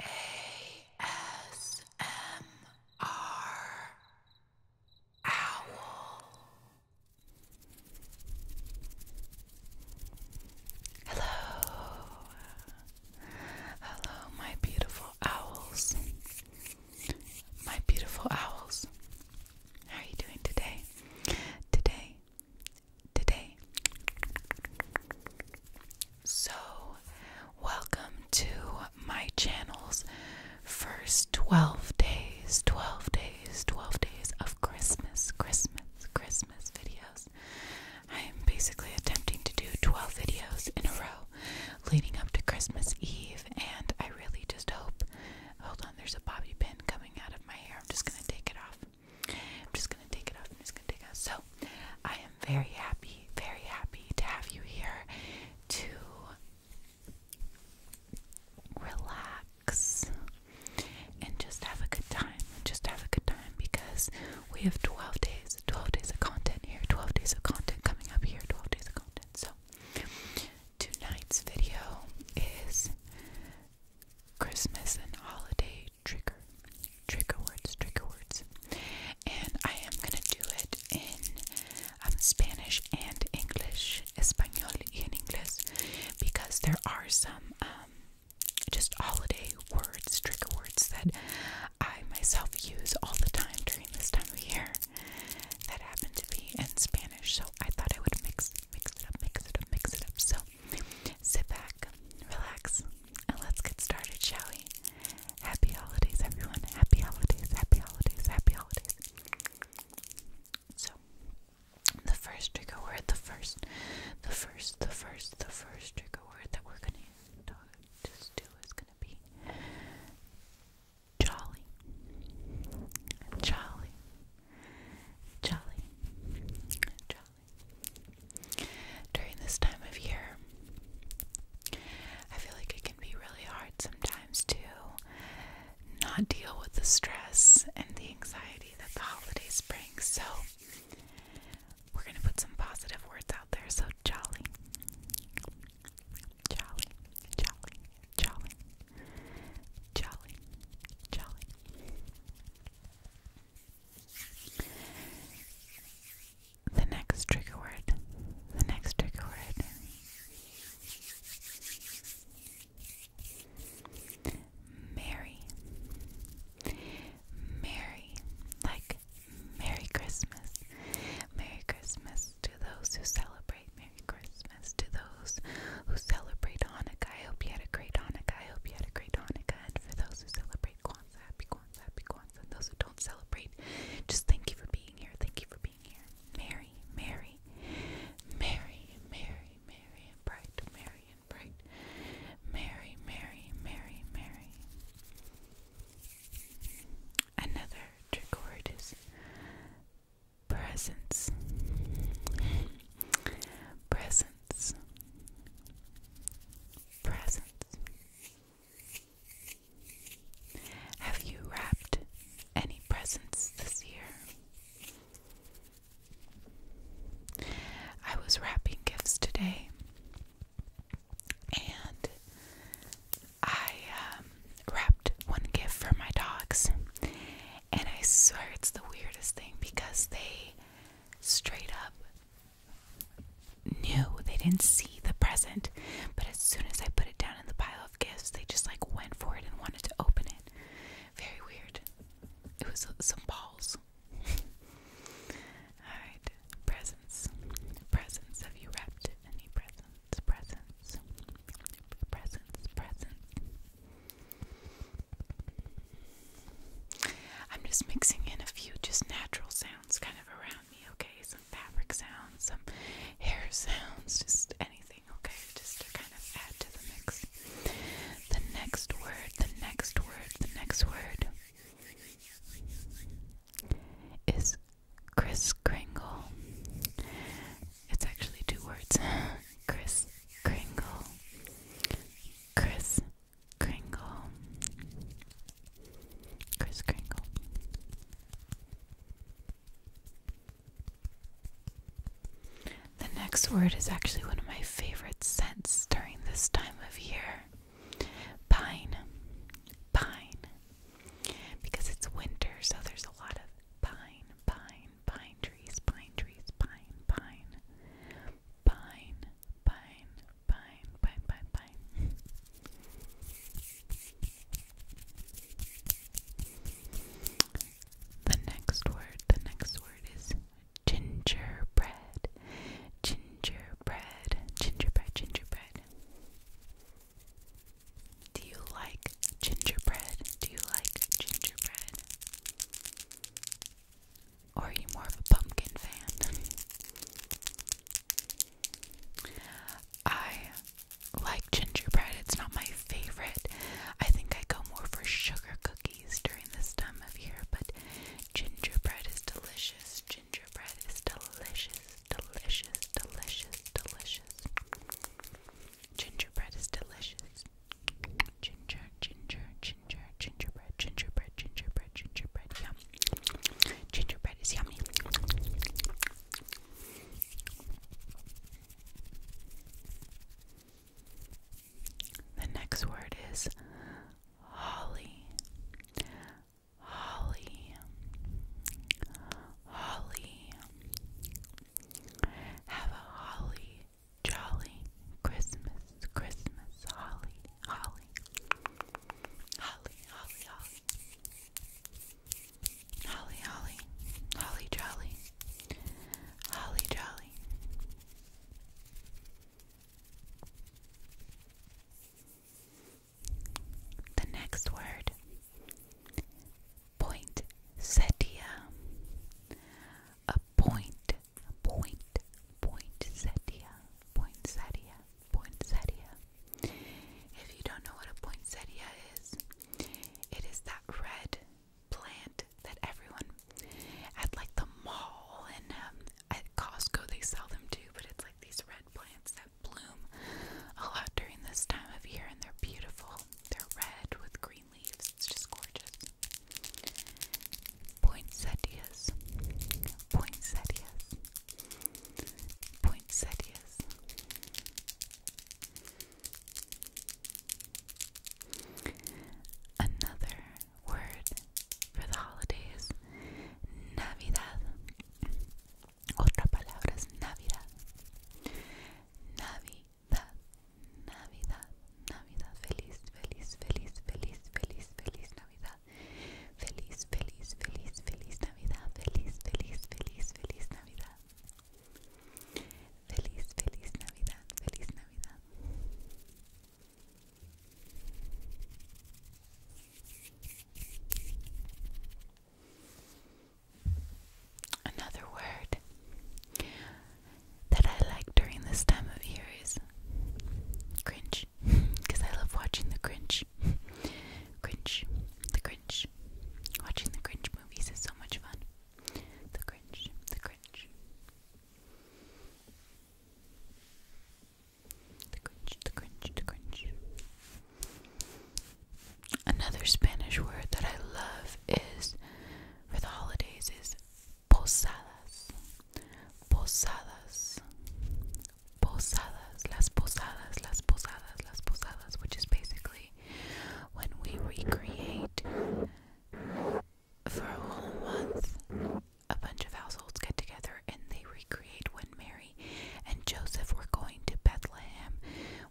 ASMR Owl. Hello. Hello, my beautiful owls. My beautiful owls. How are you doing today? Today, today. So, welcome to my channel's first 12 days, 12 days, 12 days of Christmas, Christmas, Christmas videos. I am basically attempting to do 12 videos in a row leading up to Christmas Eve, and I really just hope. Hold on, there's a bobby pin coming out of my hair. I'm just gonna take it off. I'm just gonna take it off. I'm just gonna take it off. So I am very happy, very happy to have you here to relax and just have a good time. Just have a good time because we have 12 days, 12 days of content here, 12 days of content coming up here, 12 days of content. So tonight's video is Christmas and holiday say trigger, words, trigger words. And I am gonna do it in um, Spanish and English, Espanol y en Inglés, because there are some um, just holiday words, trigger words that I myself use all the time during this time of year that happen to be in Spanish. So I thought I would mix, mix it up, mix it up, mix it up. So Sit back, relax, and let's get started, shall we? Happy holidays, everyone. Happy holidays, happy holidays, happy holidays. So, the first trigger word, the first, the first, the first, the first trigger word that we're going to just do is going to be jolly. Jolly. Jolly. Jolly. During this time of year, I feel like it can be really hard sometimes to not deal with the stress and the anxiety that the holidays bring. So, we're going to put some positive words out there. So, jolly, jolly, jolly, jolly, jolly. The next trigger word. The next trigger word. Merry. Merry. Like Merry Christmas. Merry Christmas to those who celebrate. Merry Christmas to those those who celebrate Hanukkah, I hope you had a great Hanukkah. I hope you had a great Hanukkah. And for those who celebrate Kwanzaa, happy Kwanzaa, happy Kwanzaa. And those who don't celebrate, just thank you for being here. Thank you for being here. Merry, merry, merry, merry, merry, and bright, merry and bright. Merry, merry, merry, merry. Another trick presence. Presence presents have you wrapped any presents this year I was wrapping gifts today and I um, wrapped one gift for my dogs and I swear it's the weirdest thing because they straight up knew they didn't see the present, but as soon as I put it down in the pile of gifts, they just like went for it and wanted to open it. Very weird. It was some balls. Alright, presents. Presents. Have you wrapped any presents? Presents. Presents. Presents. I'm just mixing in a few just natural sounds kind of around me, okay? Some fabric sounds, some hair sounds, just anything, okay? Just to kind of add to the mix. The next word, the next word, the next word is Kris Kringle. It's actually two words. Chris Kringle. Chris Kringle. Chris Kringle. The next word is actually one of my favorite scents during this time of year pine. Pine. Because it's winter, so there's a lot of pine, pine, pine, pine trees, pine trees, pine, pine, pine, pine, pine, pine, pine, pine. the next word, the next word is gingerbread, gingerbread, gingerbread, gingerbread. Do you like gingerbread? Do you like gingerbread? Or are you more of a pumpkin fan? I like gingerbread. It's not my favorite. I think I go more for sugar cookies during this time of year, but gingerbread is delicious. Gingerbread is delicious, delicious, delicious, delicious. Gingerbread is delicious. Ginger, ginger, ginger, gingerbread, gingerbread, gingerbread, gingerbread, yum. Gingerbread is yummy. The next word is holly. Holly. Holly. Have a holly, jolly Christmas, Christmas, holly, holly, holly, holly, holly, holly, holly, holly, jolly, holly, jolly. The next word poinsettia, a point, point, poinsettia, poinsettia, poinsettia. If you don't know what a poinsettia is, it is that red plant that everyone at like the mall and um, at Costco they sell them too, but it's like these red plants that bloom a lot during this time of year, and they're beautiful. They're red with green leaves. It's just gorgeous. Poinsettias. Poinsettias. Poinsettias. Another word for the holidays, Navidad. Otra palabra es Navidad. Navidad, Navidad, Navidad. Feliz, feliz, feliz, feliz, feliz, feliz Navidad. Feliz, feliz, feliz, feliz Navidad. Feliz, feliz, feliz, feliz Navidad. Feliz, feliz Navidad, feliz Navidad. Another word that I like during this time of year is cringe, because I love watching the cringe. cringe, the cringe. Watching the cringe movies is so much fun. The cringe, the cringe. The cringe, the cringe, the cringe. Another Spanish word that I love is for the holidays is posadas. Posadas. Posadas. Las posadas, las posadas, las posadas, which is basically when we recreate for a whole month a bunch of households get together and they recreate when Mary and Joseph were going to Bethlehem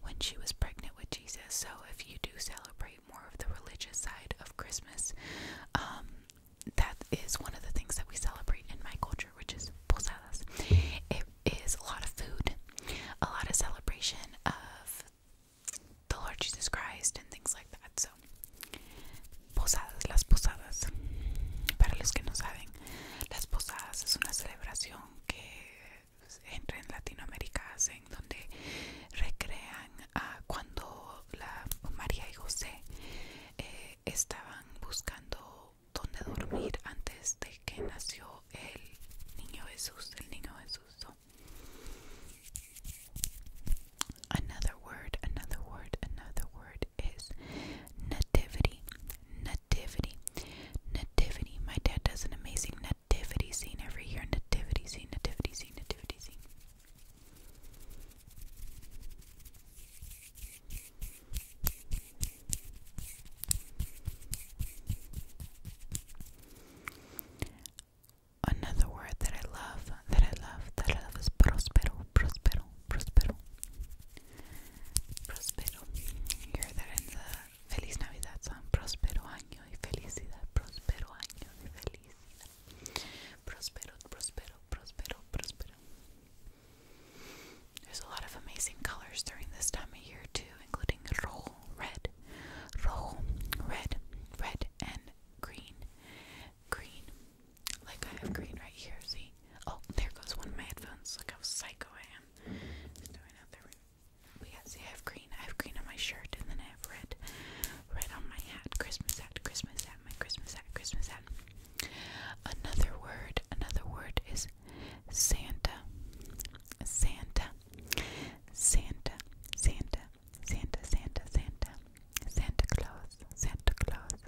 when she was pregnant with Jesus. So, if you do celebrate more of the religious side of Christmas, um, that is one of the things that we celebrate in my culture, which is posadas. It is a lot of food, a lot of celebration of the Lord Jesus Christ and things like that. So, posadas, las posadas. Para los que no saben, las posadas es una celebración que entre en Latinoamérica hacen donde recrean a cuando la María y José eh, estaban buscando donde dormir antes de que nació el niño Jesús, el niño Jesús. another word, another word, another word is nativity, nativity, nativity. My dad does an amazing nativity scene every year. Nativity scene, nativity scene, nativity scene. Another word that I love, that I love, that I love is prospero, prospero, prospero. Próspero. You hear that Feliz Navidad song. Próspero año y felicidad. Próspero año y felicidad. Próspero, próspero, próspero, próspero. There's a lot of amazing colors during this time of year too, including rojo, red, rojo, red, red and green, green, like I have green right here, see? Oh, there goes one of my headphones. Look how psycho I am. Just have green. I have green on my shirt and then I have red. Red on my hat. Christmas hat, Christmas hat, my Christmas hat, Christmas hat. Another word, another word is Santa. Santa. Santa. Santa. Santa. Santa. Santa. Santa Claus. Santa Claus.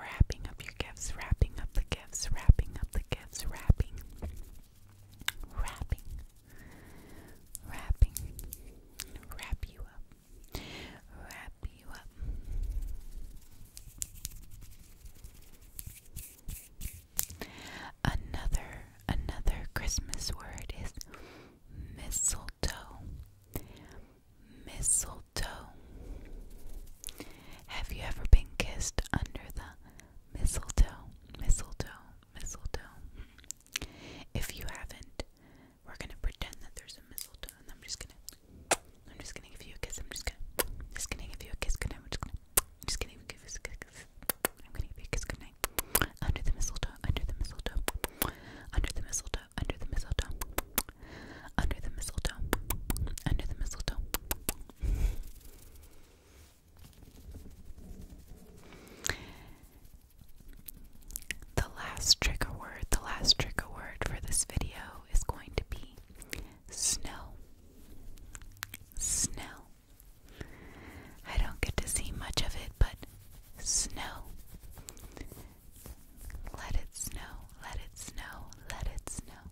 wrapping up your gifts, wrapping up the gifts, wrapping up the gifts, wrapping, wrapping, wrapping, wrap you up, wrap you up. Another, another Christmas word is mistletoe. Mistletoe mistletoe. Have you ever been kissed under the mistletoe? Mistletoe, mistletoe. If you haven't, we're gonna pretend that there's a mistletoe, and I'm just gonna, I'm just gonna give you a kiss. I'm just gonna, just gonna give you a kiss. Good night. I'm just gonna, I'm just gonna give you a kiss. I'm gonna give you a kiss. Good night. Under the mistletoe. Under the mistletoe. Under the mistletoe. Under the mistletoe. Under the mistletoe. Under the mistletoe. The last trigger word, the last trigger word for this video is going to be snow. Snow. I don't get to see much of it, but snow. Let it snow, let it snow, let it snow.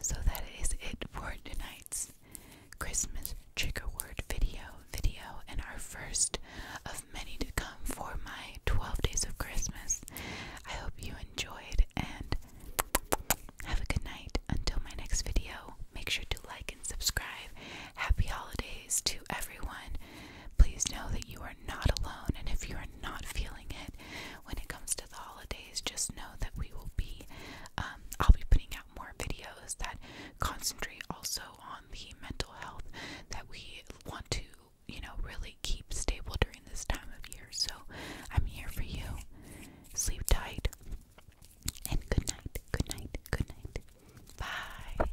So that is it for tonight's Christmas trigger word video video and our first of many to come for my 12 days of Christmas. I hope you enjoyed and have a good night until my next video. Make sure to like and subscribe. Happy holidays to everyone. Please know that you are not alone, and if you are not feeling it when it comes to the holidays, just know that we will be. Um, I'll be putting out more videos that concentrate also on the mental health that we want to, you know, really keep stable during this time of year. So I'm here for you. Sleep tight, and good night, good night, good night. Bye.